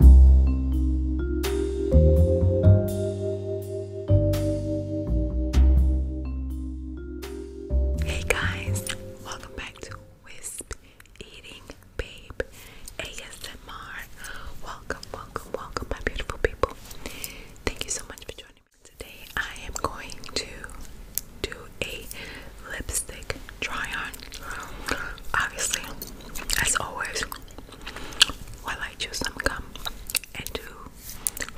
Hey guys, welcome back to Wisp Eating Babe ASMR. Welcome, welcome, welcome, my beautiful people. Thank you so much for joining me today. I am going to do a lipstick try on. Obviously, as always, while I chew some gum and do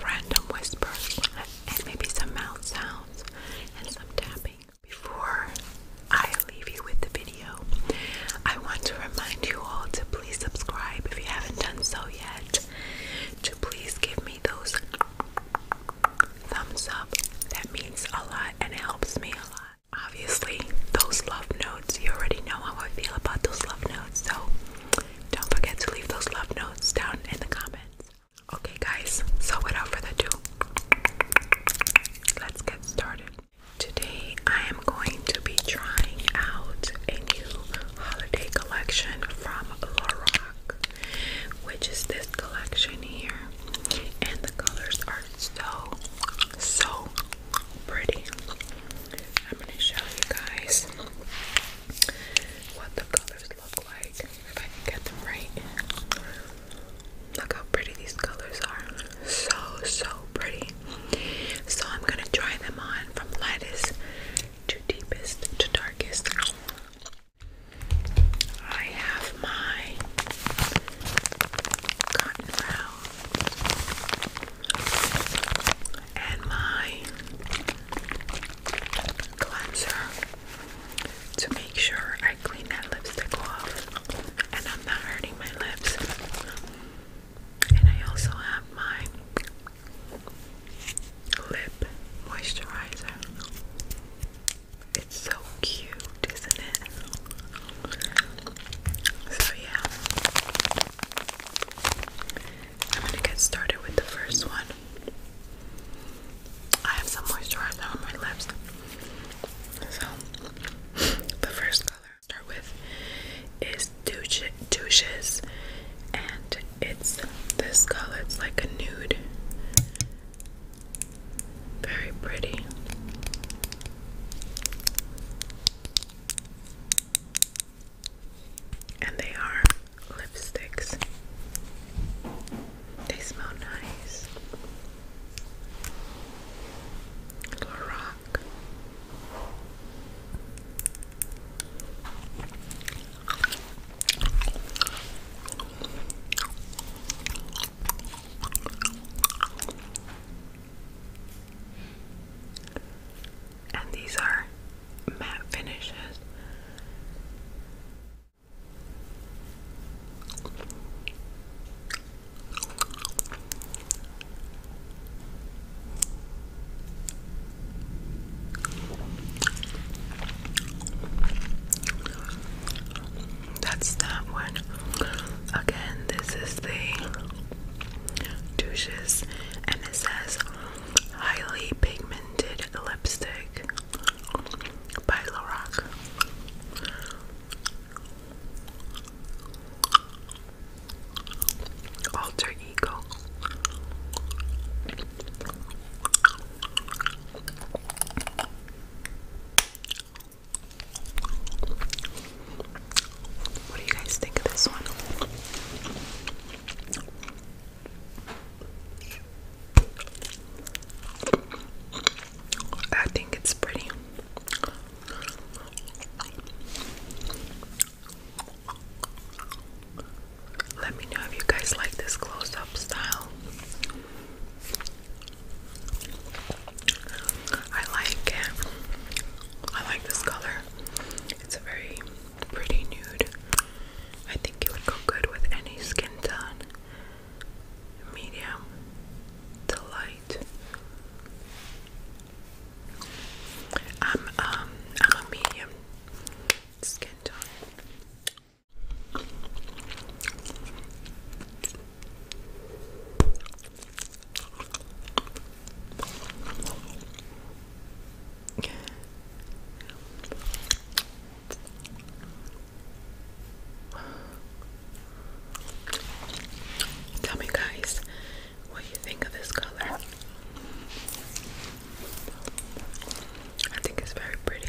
random whispers and maybe some mouth sounds and some tapping. Before I leave you with the video, I want to remind you all to please subscribe if you haven't done so yet. To please give me those thumbs up. That means a lot and helps me a lot. Obviously, those love notes, you already know how I feel about those love notes, so don't forget to leave those love notes down in the comments. Okay, guys, so without further ado, let's get started. Today, I am going to be trying out a new holiday collection from Lorac, which is this collection here, and the colors are so, so pretty. I'm gonna show you guys what the colors look like if I can get them right. Look how pretty these colors are. So so pretty. So I'm gonna try them on from lightest to deepest to darkest. I have my cotton round and my cleanser to make sure I clean that lipstick off and I'm not hurting my lips. And I also have my lip moisturizer. It's so cute, isn't it? So, yeah. I'm gonna get started with the first one. I have some moisturizer on my lips. So, the first color I start with is douches, and it's this color. It's like a nude very pretty. And they are lipsticks. They smell nice. Little and these are matte finishes that's that one. Again, this is the douches, and it says highly pigmented lipstick by Lorac. Alter Ego. What do you guys think of this one? I think it's pretty. Let me know if you guys like this close up style. I like I like this color. It's a very pretty nude. I think it would go good with any skin tone. Medium to light. I'm um I'm a medium skin tone. Tell me, guys, what do you think of this color? I think it's very pretty.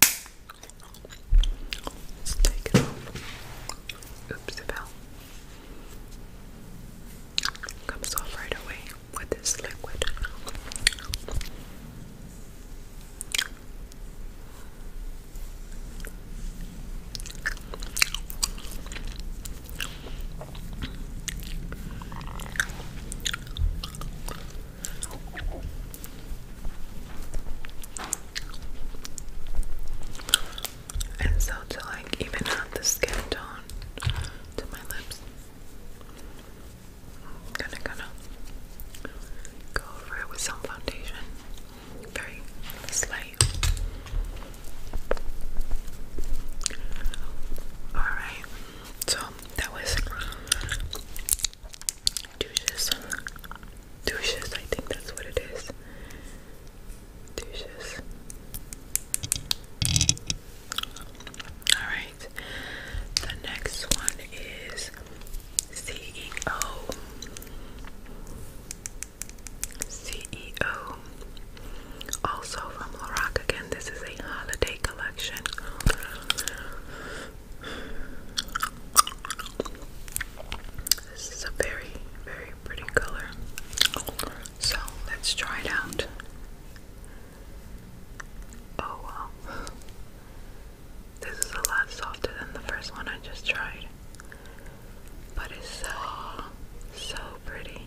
Let's take it off. Oops, it fell. Comes off right away with this liquid. And so to like even out the skin tone to my lips, I'm gonna gonna go over it with some foundation. Very slight. Alright, so that was douches, douches. I think that's what it is. Douches. All right. The next one is CEO. CEO. Also from Lorac again. This is a holiday collection. This is a very, very pretty color. So let's try it out. Oh This is a lot softer than the first one I just tried. But it's so, so pretty.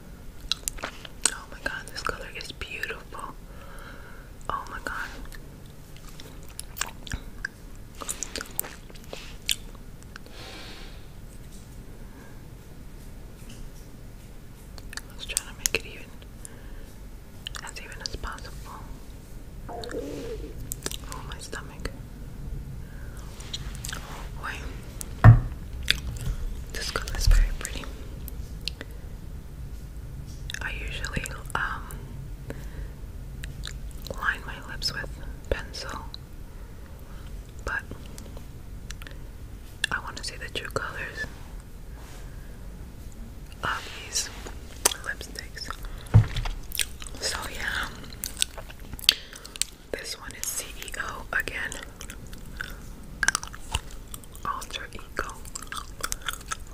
Oh my god, this color is beautiful. Oh my god. I was trying to make it even as even as possible. Oh my stomach. Oh boy. This color is very pretty. I usually um, line my lips with pencil, but I want to see the true colors of these lipsticks. So, yeah, this one is CEO again. Alter Ego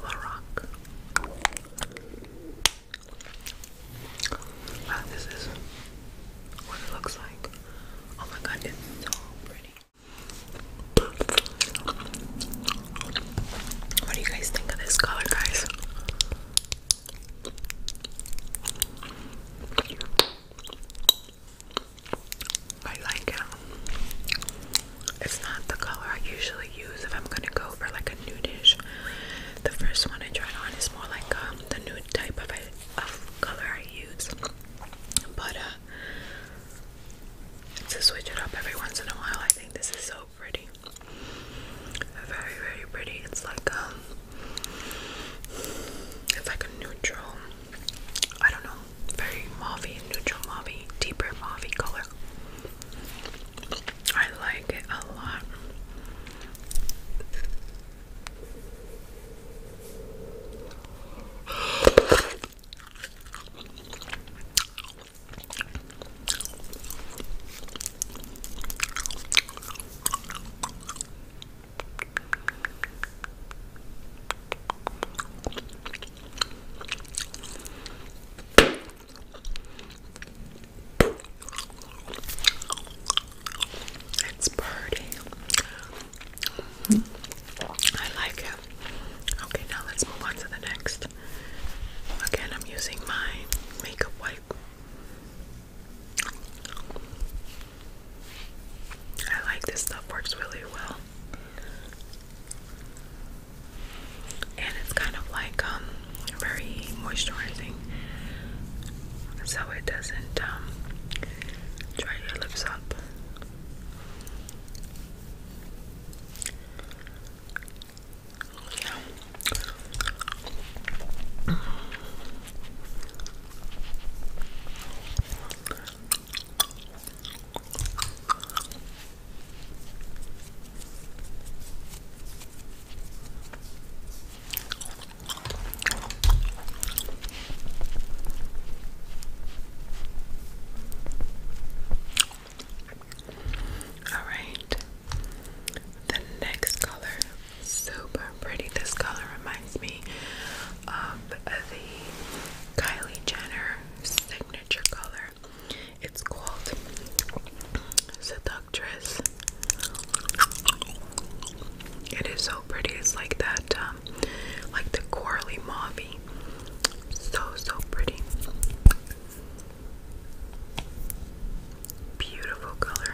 Larock. Wow, this is what it looks like. Oh my god, it's so pretty. What do you guys think of this color, guys? I like it. It's not the color I usually use if I'm gonna go for like a nude-ish. The first one I tried on is more like um, the nude type of color I use. But uh, to switch it up every once in a while, I think this is so pretty. Very, very pretty. It's like um, it's like a neutral I don't know, very mauvey, neutral mauvey, deeper mauvey color. I like it a lot. It's party. I like it. Okay, now let's move on to the next. Again, I'm using my makeup wipe. I like this stuff, works really well. And it's kind of like um very moisturizing. So it doesn't um dry your lips up. All right, the next color, super pretty. This color reminds me of the Kylie Jenner signature color. It's called Seductress. It is so pretty. It's like that, um, like the coralie mauvey. So so pretty. Beautiful color.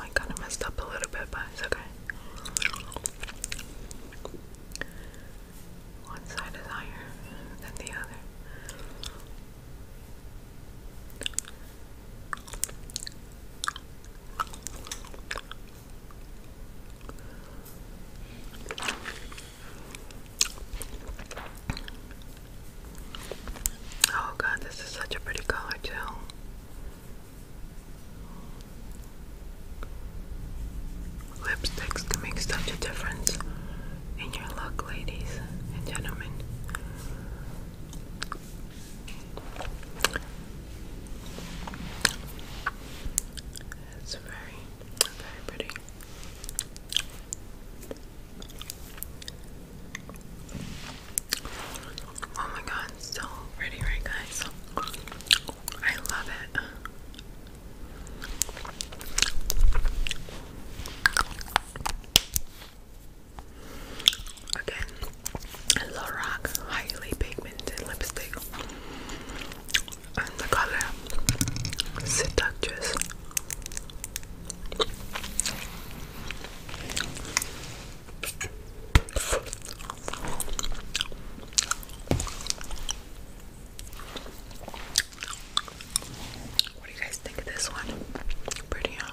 I kind of messed up a little bit, but it's okay. One side is higher than the other. Oh god, this is such a pretty color too. Lipsticks can make such a difference in your look, ladies and gentlemen. It's very, very pretty. Oh my god, so pretty, right, guys? I love it. Again, Lorac highly pigmented lipstick, and the color Seductress. What do you guys think of this one? Pretty, huh?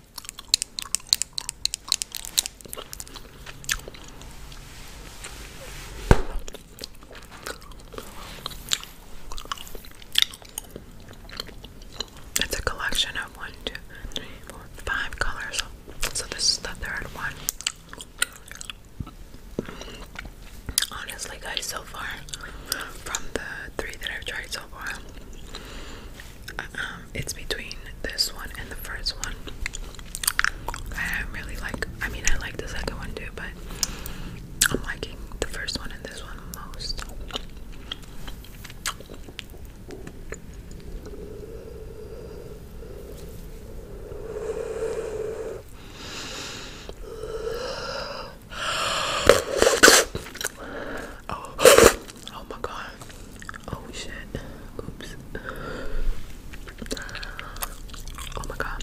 It's a collection of one, two, three, four, five colors. So this is the third one. Honestly, guys, so far from the three that I've tried so far, um, it's between this one and the first one. I really like. I mean, I like the second one too, but I'm liking the first one and this one most. Oh, oh my god. Oh shit. Oops. Oh my god.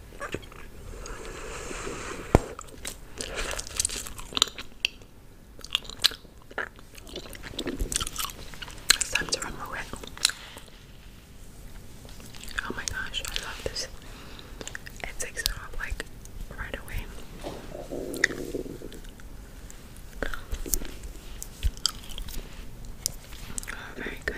It's time to remove it. Oh my gosh, I love this. It takes it off like right away. Oh, very good.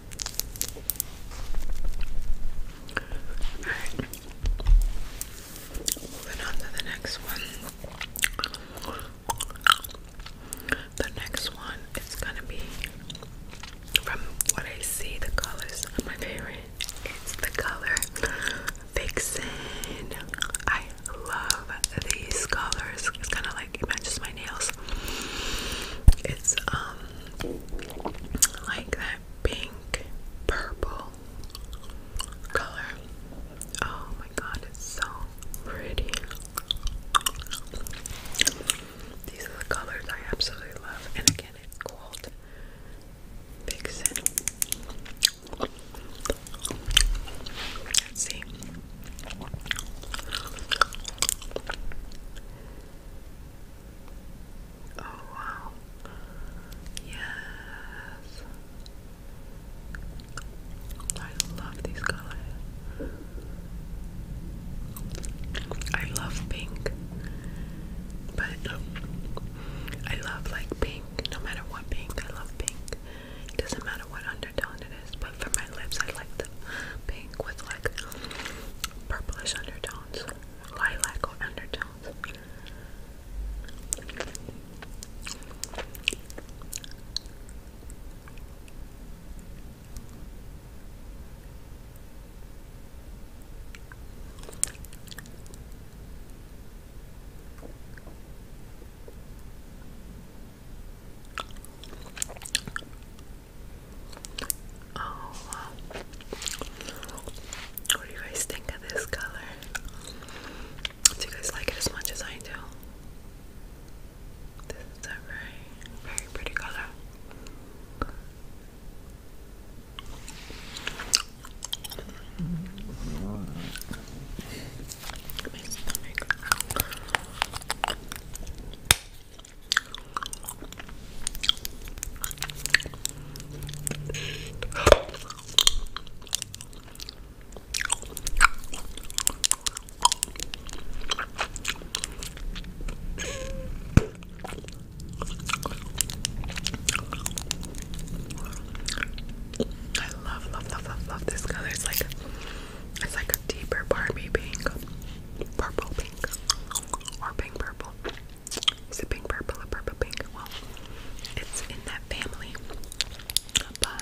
Alright. Moving on to the next one. The next one is gonna be from what I see, the colors my favorite. It's the color Vixen. I love these colors. It's kind of like matches my nails. It's um like that pink purple color. Oh my god, it's so pretty. These are the colors I absolutely love, and again, it's called Vixen. Let's see. Oh wow. Yes. I love these colors. I love pink. But I love like pink, no matter what pink, I love pink. doesn't matter what undertone it is, but for my lips I like the pink with like purplish undertone lilac undertones. Oh, What do you guys think of this color? Do you guys like it as much as I do? This is a very, very pretty color. I love, love, love, love, love this color. It's like it's like a deeper Barbie pink, purple pink or pink purple. Is it pink purple or purple pink? Well, it's in that family. But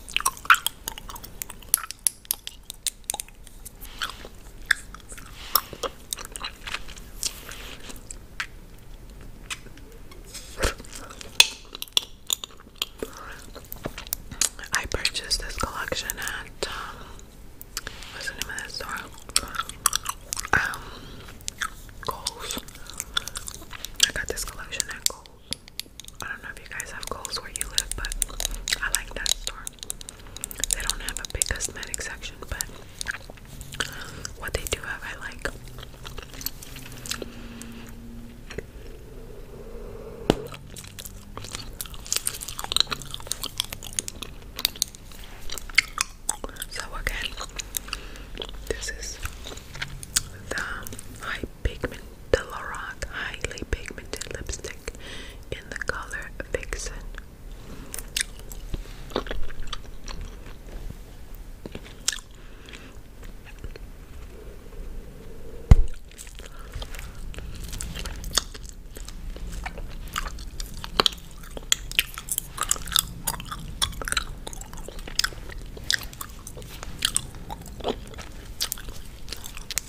I purchased this collection at um, what's the name of that store? Um, Kohl's. I got this collection at Kohl's. I don't know if you guys have Kohl's where you live, but I like that store. They don't have a big cosmetic section, but what they do have, I like. So again, this is the high pigment de Lorac highly pigmented lipstick in the color Vixen.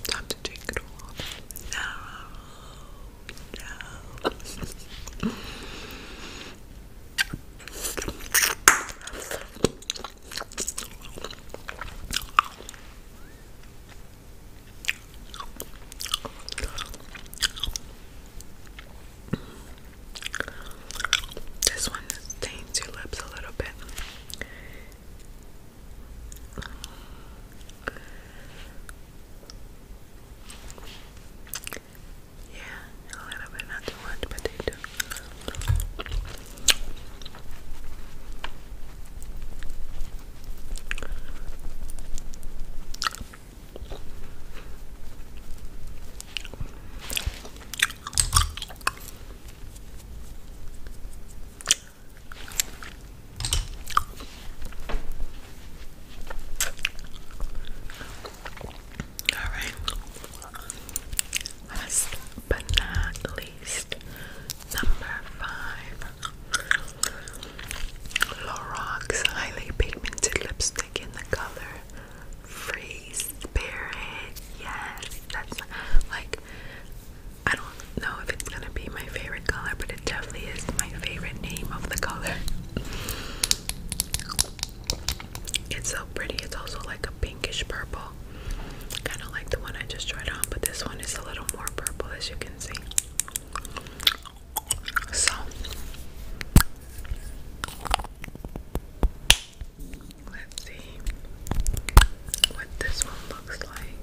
Time to take it off. No, no. This one stains your lips a little bit. Yeah, a little bit, not too much, but they do. All right. Last but not least, number five Lorox Highly Pigmented Lipstick in the color free spirit. Yes, that's like I don't know if it's gonna be my favorite color, but it definitely is my favorite name of the color. It's so pretty. It's also like a pinkish purple, kind of like the one I just tried on, but this one is a little more purple, as you can see. So, Let's see what this one looks like.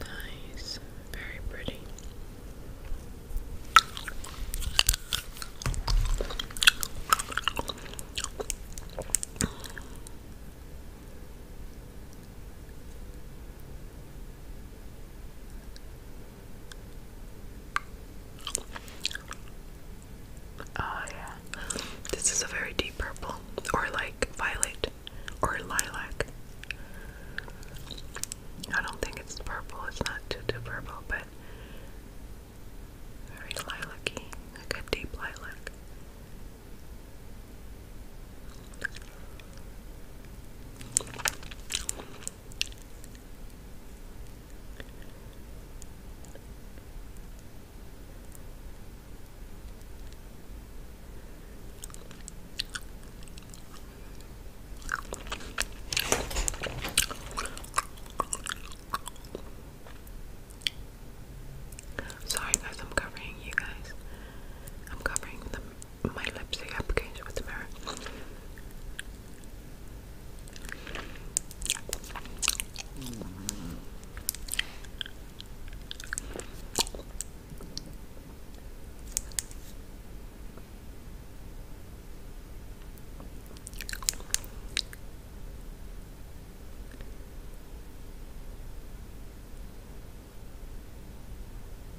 Nice, very pretty. Oh, yeah. This is a very deep purple, or like violet, or lilac. I don't think it's purple, it's not too, too purple, but very lilac y, like a deep lilac. Sorry guys, I'm covering you guys. I'm covering the my lipstick application with the mirror.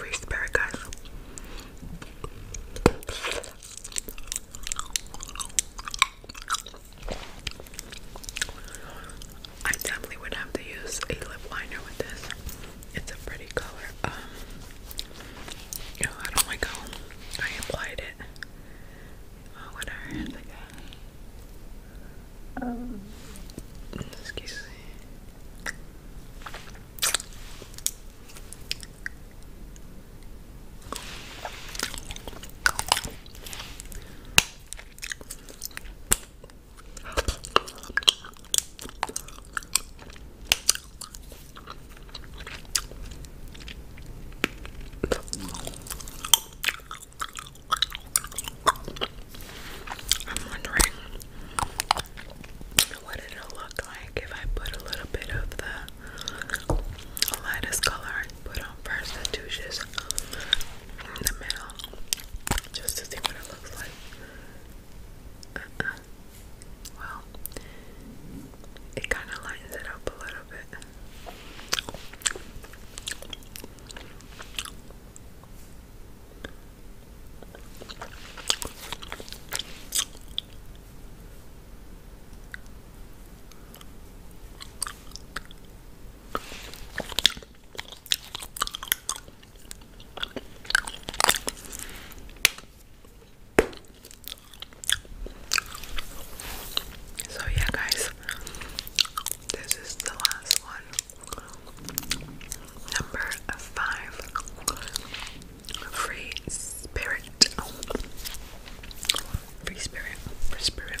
Reese guys. I definitely would have to use a lip liner with this. It's a pretty color. Um, I don't like how um, I applied it. Oh, whatever. um, excuse me. I'm wondering what it look like if I put a little bit of the lightest color I put on first the douches in the middle just to see what it looks like. Uh-uh. Well, it kind of lightens it up a little bit. So, yeah, guys, this is the last one. Number five, free spirit. Free spirit, free spirit.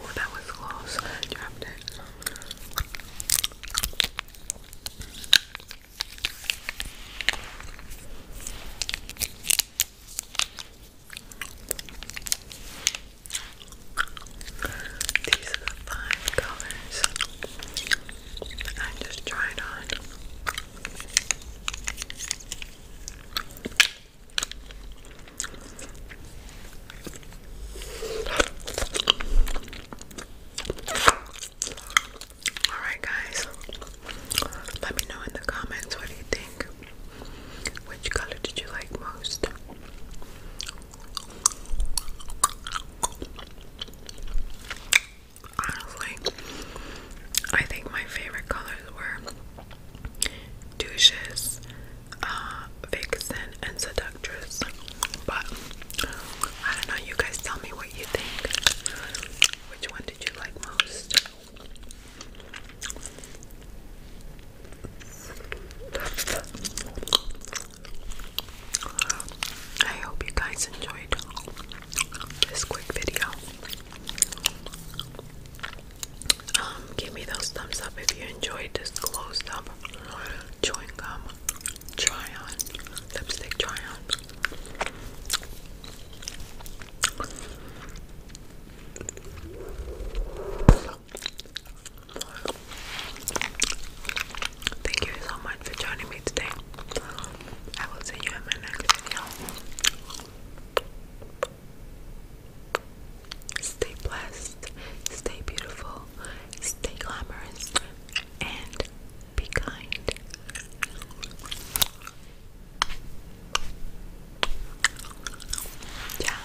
Oh, that was close. I dropped it. These are the five colors I just tried on. Alright, guys, let me know in the comments what do you think. Which color did you like most? Honestly, I think my favorite colors were douches, uh, vixen, and seductress. But I don't know, you guys tell me what you think. Which one did you like most? I hope you guys enjoyed this quick video. Um, give me those thumbs up if you enjoyed this closed up chewing gum try on lipstick try on. Thank you so much for joining me today. I will see you in my next video. Stay blessed, stay beautiful, stay glamorous, and be kind. Ciao.